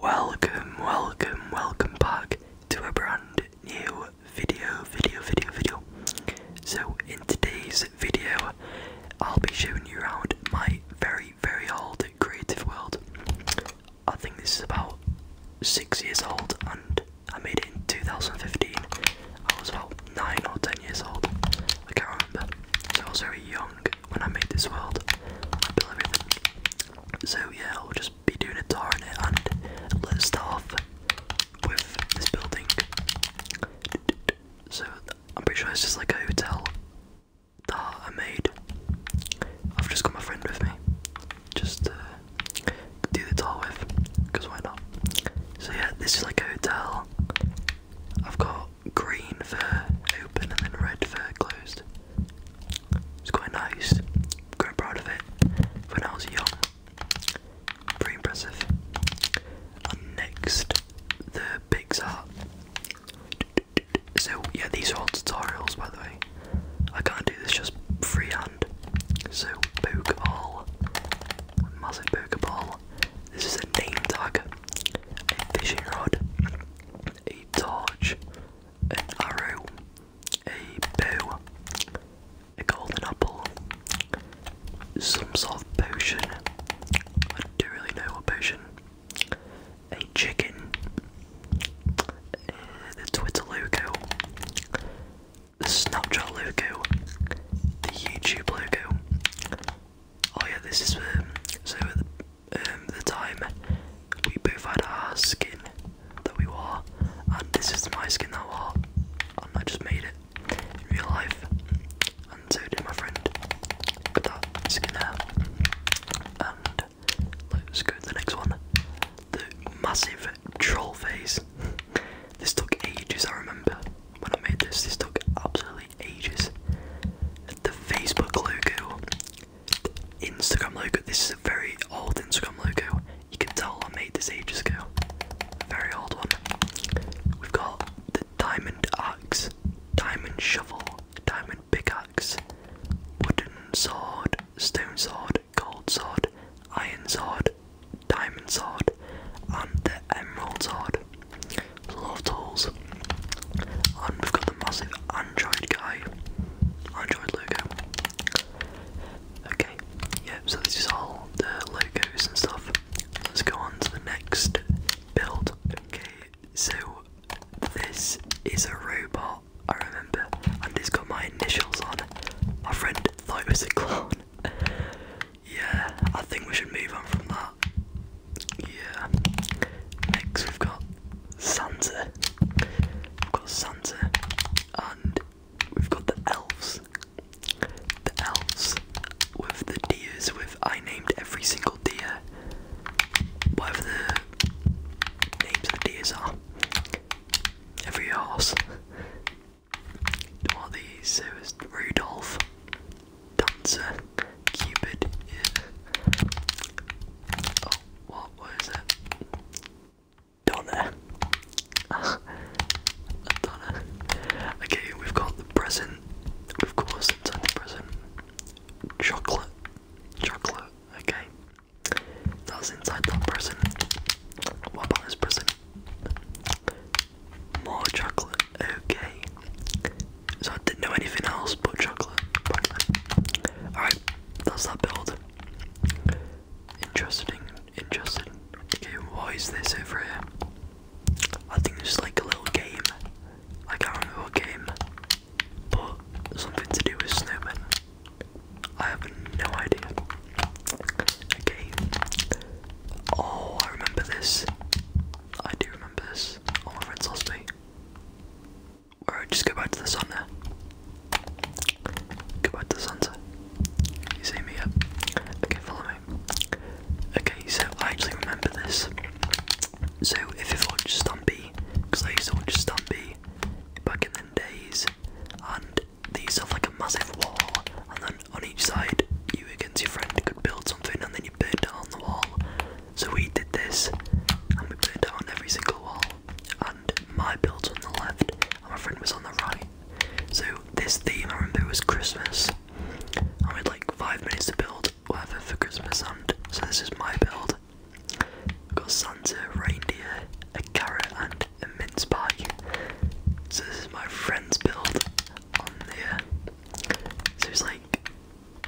Welcome, welcome, welcome back to a brand new video, video, video, video. So, in today's video, I'll be showing you around my very, very old creative world. I think this is about six years old, and I made it in 2015. I was about nine or ten years old, I can't remember. So, I was very young when I made this world, so yeah, I'll just be doing a tour on it and let's start off with this building. So I'm pretty sure it's just like a hotel that I made. I've just got my friend with me, just do the tour with, because why not? So yeah, this is like a hotel. I've got green for open and then red for closed. It's quite nice. Quite proud of it. When I was young, pretty impressive. next, the Pixar. So yeah, these are all tutorials, by the way. I can't do this just freehand. So poke Pokeball, massive ball. This is a name tag, a fishing rod, a torch, an arrow, a bow, a golden apple, some sort of potion. I don't really know what potion. A chicken, uh, the Twitter logo, the Snapchat logo, the YouTube logo. Oh yeah, this is um, so um, the time we both had our skin that we wore, and this is my skin that I wore, and I just made it in real life, and so did my friend with that skin there. And let's go to the next one the massive troll face. this took ages, I remember when I made this, this took absolutely ages. The Facebook logo Instagram logo. This is a very old Instagram logo. You can tell I made this ages ago. Very old one. We've got the diamond axe, diamond shovel, diamond pickaxe, wooden sword, stone sword, gold sword, iron sword, diamond sword, and the emerald sword. Love tools. And we've got the massive Android guy, Android logo. Okay, yeah, so this is all the logos and stuff. Let's go on to the next build. Okay, so this is a robot, I remember, and it's got my initials on. My friend thought it was a clown. yeah, I think we should move on from that. Yeah. Next, we've got Santa, We've got Sansa, and we've got the elves. The elves with the deers. With I named every single deer, whatever the names of the deers are. Every horse. What are these? was Rudolph, Dancer, Cupid. Yeah. Oh, what it? Donna. Donna. Okay, we've got the present. Of course, inside the present. Chocolate. Chocolate. Okay. That's inside that present. What about this present? More chocolate. Okay. So I didn't know anything else but chocolate. Alright, does that build. Interesting, interesting. Okay, Why is this over here? I think it's like a little game. I can't remember what game, but something to do with snowmen. I have no idea. Okay. Oh, I remember this. I do remember this. All oh, my friends lost me. Alright, just go back to the sun there. Go back to the sunset. You see me, yeah? Okay, follow me. Okay, so I actually remember this. So if you've watched Stumpy, because I used to watch Stumpy back in the days, and they used to have like a massive wall, and then on each side, you against your friend could build something, and then you burn on the wall. So we did this, and we burned on every single wall and my build's on the left, and my friend was on the right. So this theme I remember was Christmas, I had like five minutes to build whatever for Christmas. And so this is my build. got Santa, reindeer, a carrot, and a mince pie. So this is my friend's build on there. So it's like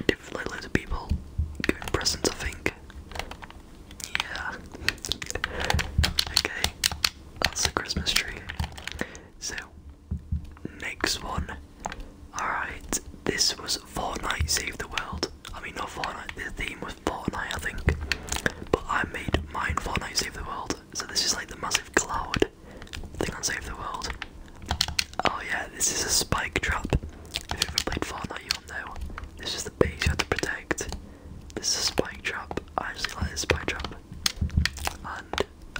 different like loads of people giving presents, I think. Yeah. okay, that's the Christmas tree. So, next one. Alright, this was Fortnite Save the World. I mean, not Fortnite, the theme was Fortnite, I think. But I made mine Fortnite Save the World. So, this is like the massive cloud thing on Save the World. Oh, yeah, this is a spike trap. If you've ever played Fortnite, you'll know. This is the base you have to protect. This is a spike trap. I actually like this spike trap. And I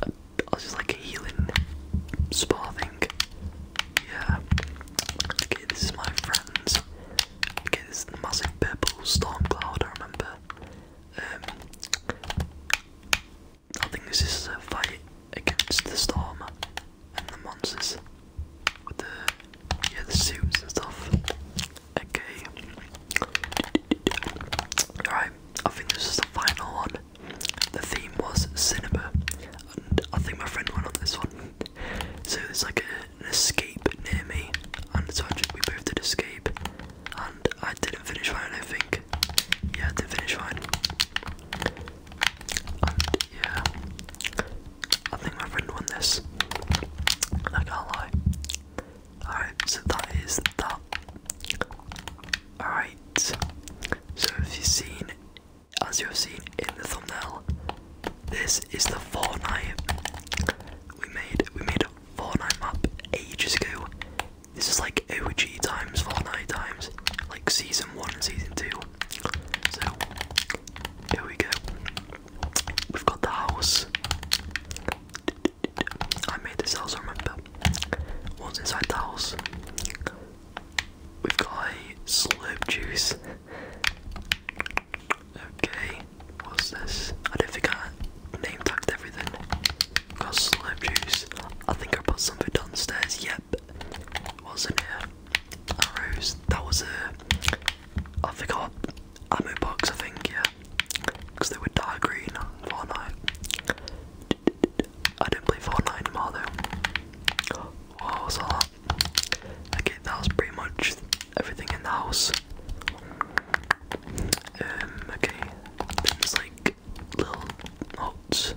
uh, it's just like a healing spa thing. Yeah. Okay, this is my friends. Okay, this is the massive purple storm cloud, I remember. Um, I think this is a fight against the storm and the monsters with the yeah the suits and stuff. Okay. Alright, I think this is the final one. The theme was cinema, and I think my friend went on this one. So it's like an escape near me, and so just, we both did escape, and I didn't finish mine. I think. Yeah, I didn't finish mine. Yeah. I think my friend won this. I can't lie. Alright, so that is that. Alright. So if you've seen as you have seen in the thumbnail, this is the Fortnite we made. We made a Fortnite map ages ago. This is like OG times, Fortnite times, like season one and season two. So here we go. We've got the house. I made this house, I remember. What's inside the house, we've got slime juice. Okay, what's this? I don't think I name tagged everything. We've got slurp juice. I think I put something downstairs. Yep. What's in here? Arrows. That was a I forgot ammo box, I think, yeah, because they were dark green on Fortnite. I didn't play Fortnite anymore though. What was all that? Okay, that was pretty much everything in the house. Um, okay, things like little huts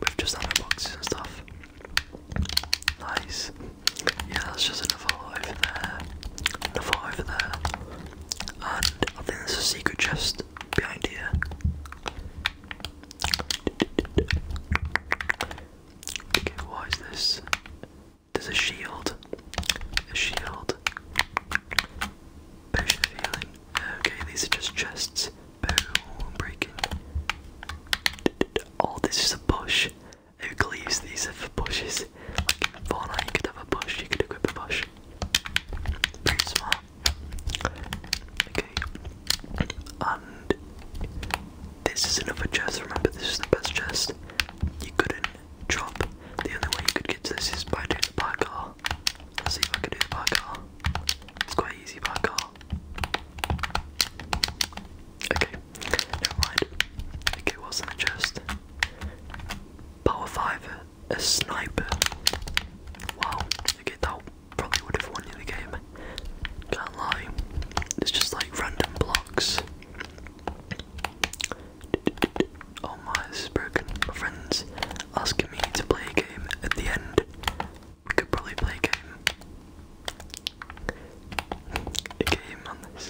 with just ammo boxes and stuff. Nice yeah, that's just another lot over there, another lot over there, and I think there's a secret chest behind here. Okay, what is this? There's a shield, a shield, potion of healing. Okay, these are just chests. Boom, breaking. Oh, this is a bush who believes these for bushes. Like in you could have a bush, you could equip a bush. Pretty smart. Okay. And this is another chest. Remember, this is the best chest. You couldn't drop. The only way you could get to this is by doing the parkour. Let's see if I can do the parkour. It's quite easy parkour. Okay. Never mind. Okay, what's in the Power 5, a sniper. Wow, okay, that probably would have won you the game. Can't lie. It's just like random blocks. Oh My friend's asking me to play a game at the end. We could probably play a game a game this.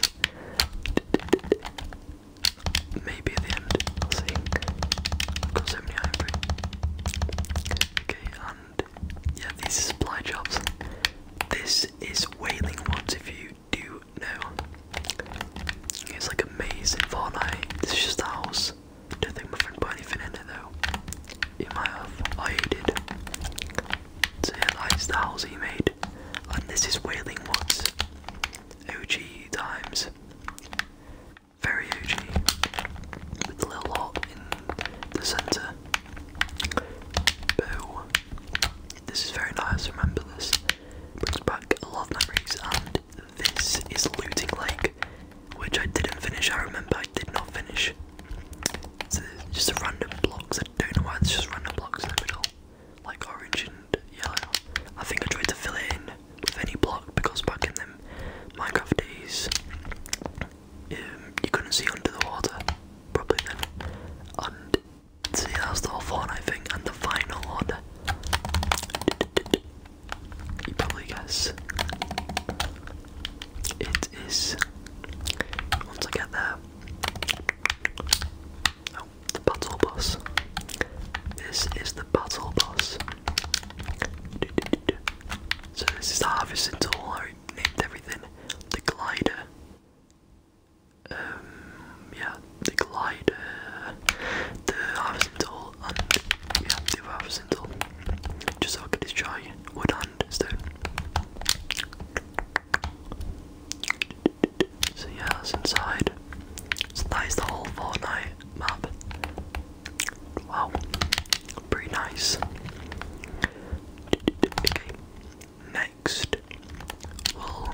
Maybe at the end, I'll see. got so many ivory. Okay, and yeah, these are supply jobs. This is Wailing Woods, if you do know. It's like a maze in This is just a house. Don't think my friend put anything in it though. You might have. I oh, did. So yeah, that's the house he made. And this is Wailing Woods. OG times. Very OG. With a little lot in the centre. Boo. This is very nice, remember this. Brings back a lot of memories and this is Looting Lake, which I didn't finish, I remember I did not finish. It's just a random blocks I don't know why it's just random blocks in the middle, like orange and yellow. I think I tried to fill it in with any block because back in them Minecraft days, um, you couldn't see under the water, probably then. And see, that's the whole Fortnite thing, and the final order. You probably guess. It is. Once I get there, Oh, the battle bus. This is the battle bus. So this is the harvesting tool. I named everything. The glider. Um, yeah, the glider, the harvesting tool, and yeah, the harvesting tool. Just so I could destroy wood and stone. So yeah, that's inside. So that is the whole Fortnite map. Wow, pretty nice. Okay, next we'll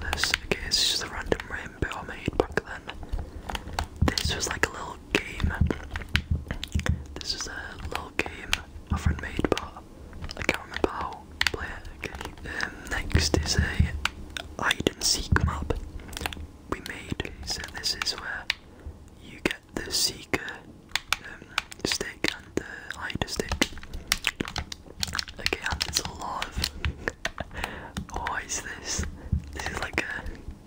this. Okay, this is a random rainbow I made back then. This was like a little game. This is a little game my friend made, I can't remember how Okay. next is a hide and seek map we made. So this is where you get the seeker um, stick and the hider stick. Okay, and there's a lot of. oh, is this? This is like a.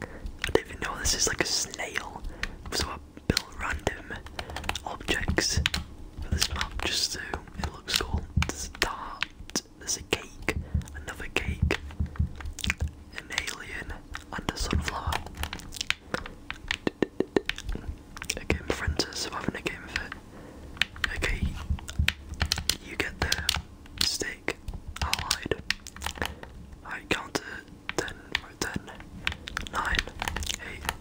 I don't even know. This is like a snail. I random objects for this map just so it looks cool. There's a dart, there's a cake, another cake, an alien, and a sunflower. Okay, my friends are surviving a game of it. Okay, you get the stick allied. I counted uh, 10, ten, nine, eight,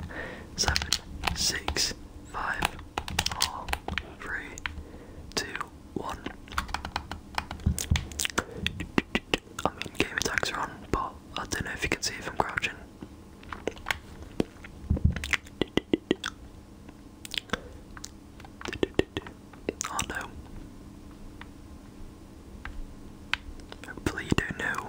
seven, six, five, four, three, two, one. I mean, game attacks are on, but I don't know if you can see if I'm crouching. Oh no. Hopefully do know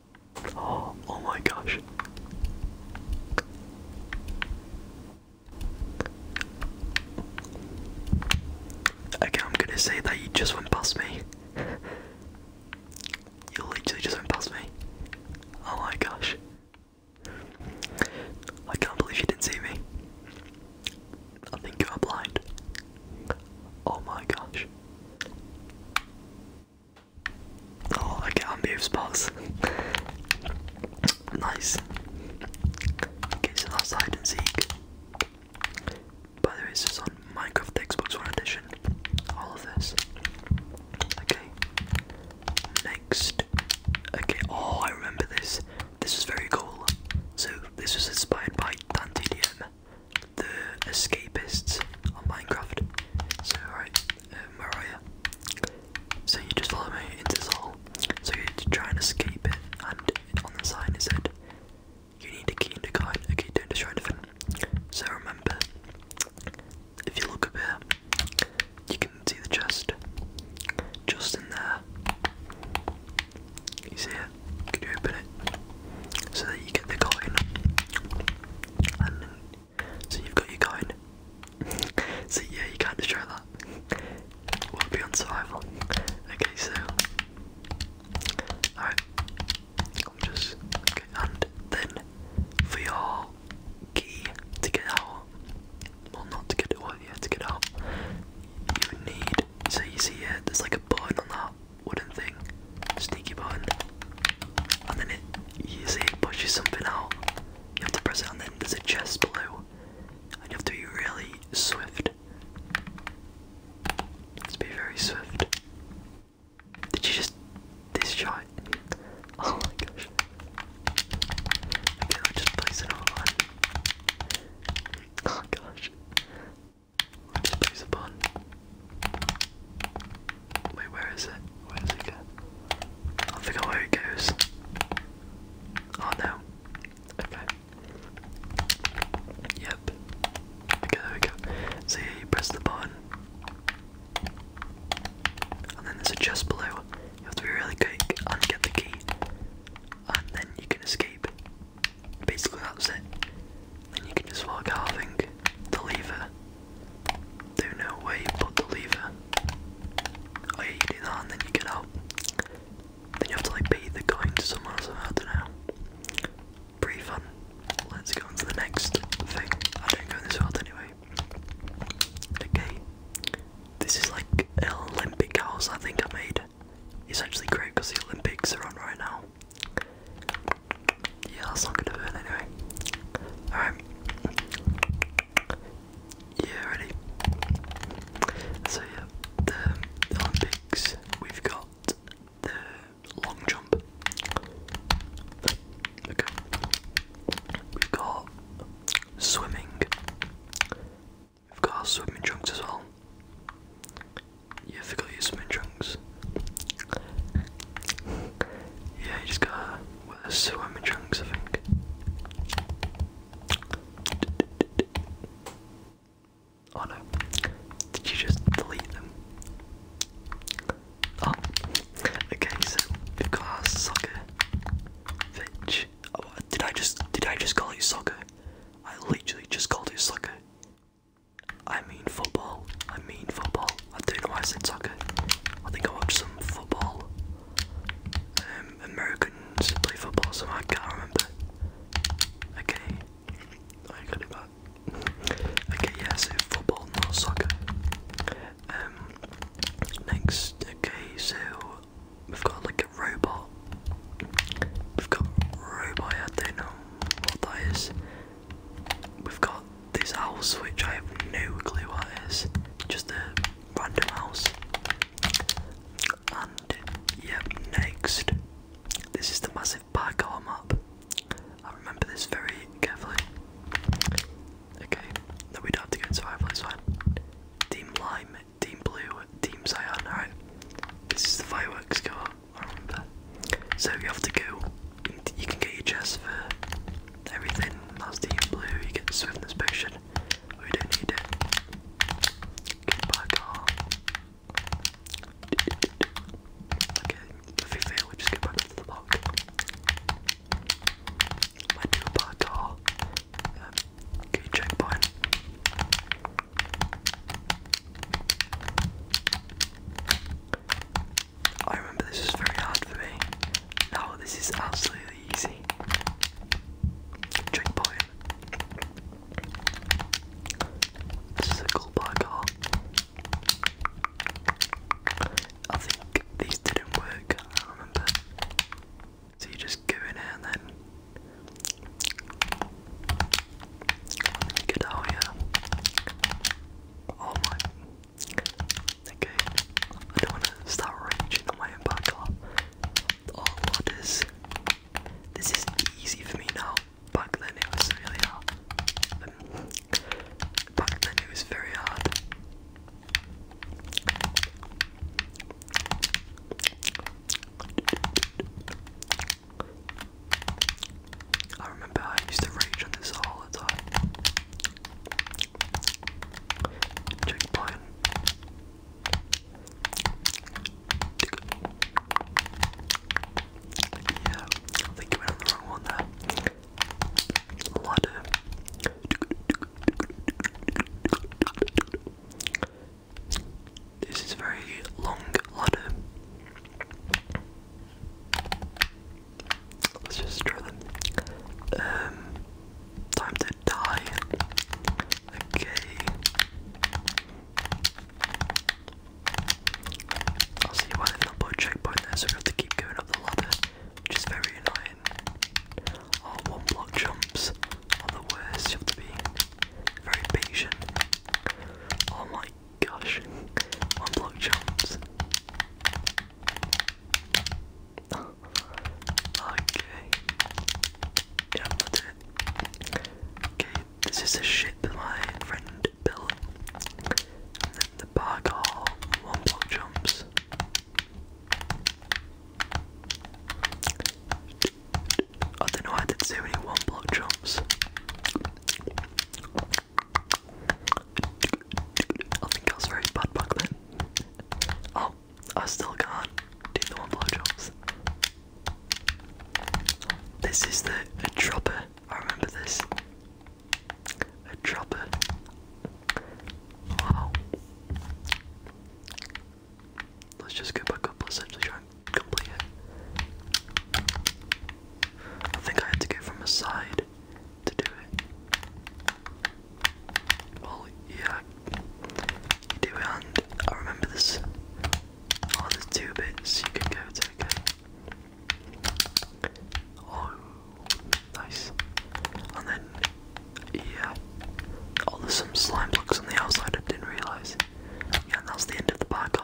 Oh, my gosh. Okay, I'm gonna say that you just went past me. you literally just went past me. Oh my gosh. I can't believe you didn't see me. I think you are blind. Oh my gosh. Oh, I get not move spots. nice. Okay, so that's hide and seek. By the way, this is on Minecraft Xbox One Edition. All of this. Okay. Next. Okay, oh, I remember this. This is very cool. So, this was inspired by Dante DM the escapists on Minecraft. So right, um, you? So you just follow me into this hole. So you try and escape it, and on the sign it said, "You need a key and a coin. Okay, don't destroy anything." So remember, if you look up here, you can see the chest just in there. You see it? Can you open it? so that you get the coin. And so you've got your coin. so yeah, you can't destroy that. We'll be on survival. Okay, so alright. just and then for your key to get out, well not to get it, well yeah, to get out, you need. So you see here, there's like a button on wooden thing, sneaky button, and then it you see it pushes something out. You have to press it, and then there's a chest below, and you have to be really swift. Let's be very swift. Did you just this discharge? Oh my gosh. Okay, i just place it on. Oh gosh. Piece of bun. Wait, where is it? Where does it go? I forgot where it goes. Oh no. Okay. Yep. there we go. So press the button. And then there's a chest below. You have to be really quick and get the key. And then you can escape. Basically, that's it then you can just start carving the lever. Do no way but the lever. Oh do that and then you get out. Then you have to like pay the coin to someone or something, I don't know. Pretty fun. Let's go on to the next thing. I don't go in this world anyway. Okay. This is like Olympic cars. I think I made. It's actually great because the Olympics are on right now. Yeah, that's not gonna burn anyway. Alright. Yeah, ready. So yeah, the Olympics we've got the long jump. Okay. We've got swimming. We've got swimming trunks as well. Yeah, I forgot your swimming trunks. yeah, you just gotta wear the swimming trunks, I think. Oh no. Did you just delete them? Oh. Okay, so we've got soccer. Fitch. Oh, did I just did I just call you soccer? I literally just called you soccer. I mean football. I mean football. I don't know I said soccer. I think I watched some football. Um, Americans play football, so I can't remember. Okay. I got it back. Okay, yeah, so football, not soccer. Um, next, okay, so we've got like a robot. We've got robot, I don't know what that is. We've got this house which I have no clue what is. Just a random house. And yep, next. This is the massive parkour map. I remember this very carefully. Okay, now we don't have to go into survival, it's fine. Team Lime, Team Blue, Team Cyan, alright. This is the fireworks go so you have to go. You can get your chest for everything. That's the blue. You get the swiftness potion. We don't need it. Get back on. Okay, if we fail, we just get back into the block. Might do a parkour. Um, checkpoint. I remember this was very hard for me. Now this is absolutely easy. Drink point. Circle by car. I think these didn't work, I remember. So you just go in and then you Oh my. Again, I don't want to start raging on my own backlot. Oh, ladders. This is easy for me now. Back then it was really hard. Um, back then it was very hard. I remember I used to rage on this all the time. Checkpoint. Yeah, I think you went on the wrong one there. Ladder. This is very long ladder. Let's just try them. Um, time to die. Okay. I'll see why they've not checkpoint there, so we have to keep going up the ladder, which is very annoying. Oh, one block jumps are the worst. You have to be very patient. Oh my gosh. One block jumps. okay. Yeah, that's it. Okay, this is a ship my friend built. And then the parkour, one block jumps. I don't know why I did so many one block jumps. I think I was very butt bug then. Oh, I still can do the one blowjobs. This is the dropper. I remember this. A dropper. Wow. Let's just go back up. Let's actually try and complete it. I think I had to go from a side to do it. Well, oh, yeah, do it, and I remember this. Oh, there's two bits you can go to, Oh, nice. And then, yeah. Oh, there's some slime blocks on the outside I didn't realise. Yeah, and that's the end of the back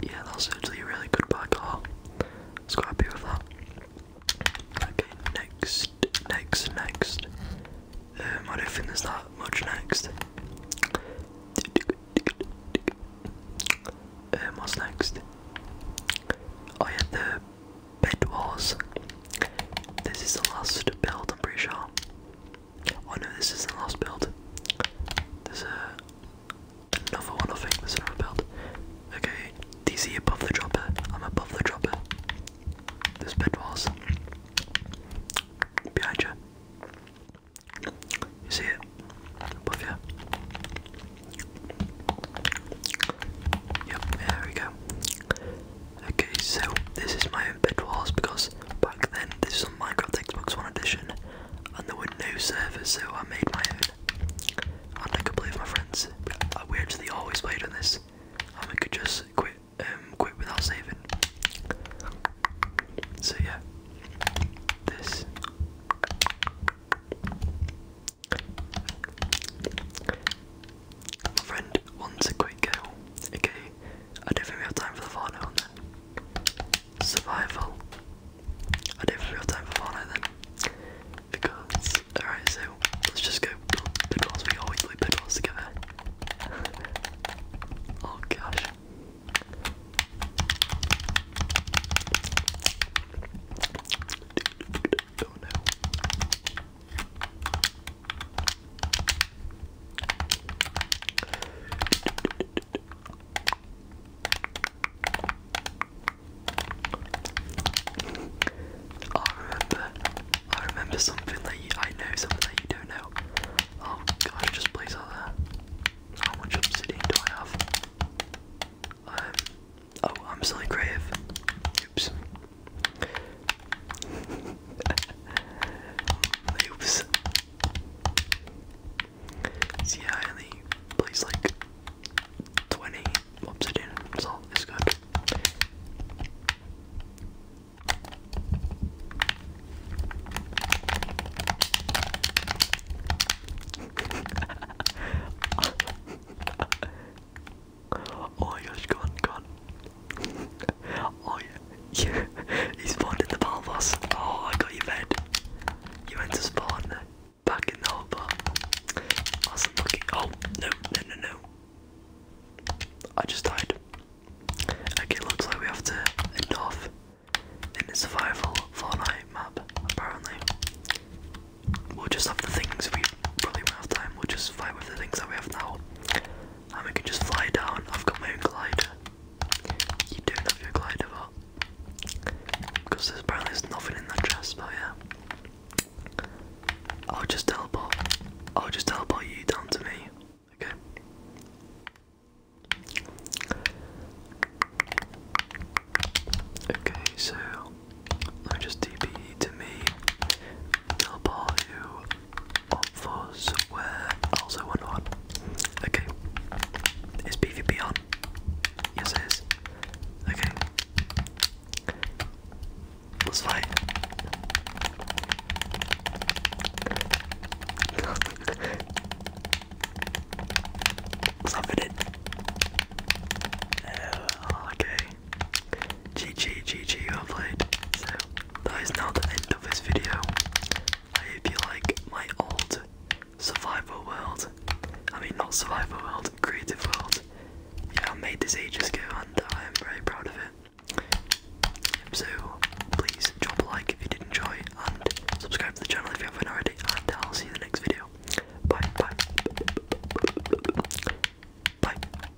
yeah, that's actually a really good back haul. So happy with that. Okay, next, next, next. Um, I don't think there's that much next. Um, what's next? Oh yeah, the bed wars. This is the last build, I'm pretty sure. I oh, know this is the last build. There's a another one I think, there's another build. Okay, DC above the dropper. I'm above the dropper. This bed was behind you. You see it? Above you. Yep, there we go. Okay, so this is my own bed wars because back then this is on Minecraft Xbox One edition and there were no servers, so I made my own. i I could play with my friends. I weirdly always played on this, I could just quit, um, quit without saving. So yeah, this. My friend wants a quick go. Okay, I don't think we have time for the far survival. I did real time for Fortnite then. Because, alright, so let's just go build We always play pickles together. oh gosh. I remember, I remember something that you, I know something that you don't know. Oh gosh, just place out How much obsidian do I have? Um, oh, I'm still grave. Oops. Oops. So yeah, I only placed like 20 obsidian, so it's good. oh my gosh, go on, oh yeah, he spawned in the Palmos. Oh, I got you bed. You went to spawn back in the harbor. Awesome looking. Oh, no, no, no, no. I just died. Okay, looks like we have to end off in the survival Fortnite map, apparently. We'll just have the things we probably won't have time, we'll just fight with the things that we have now. And we can just fly down. I've got my own glider. You do love your glider bot. Because there's apparently nothing in that chest, but yeah. I'll just teleport. I'll just teleport you down to me. Okay. Okay, so let just DP to me. Teleport you up for somewhere else I wonder Okay. Is PvP on? Yes, it is. Okay. Let's fight. Something oh, okay. GG, GG, well played. So, that is now the end of this video. I hope you like my old survival world, I mean not survival world, creative world, yeah, I made this ages ago and I'm very proud of it. So please drop a like if you did enjoy and subscribe to the channel if you haven't already and I'll see you in the next video. Bye, bye. Bye.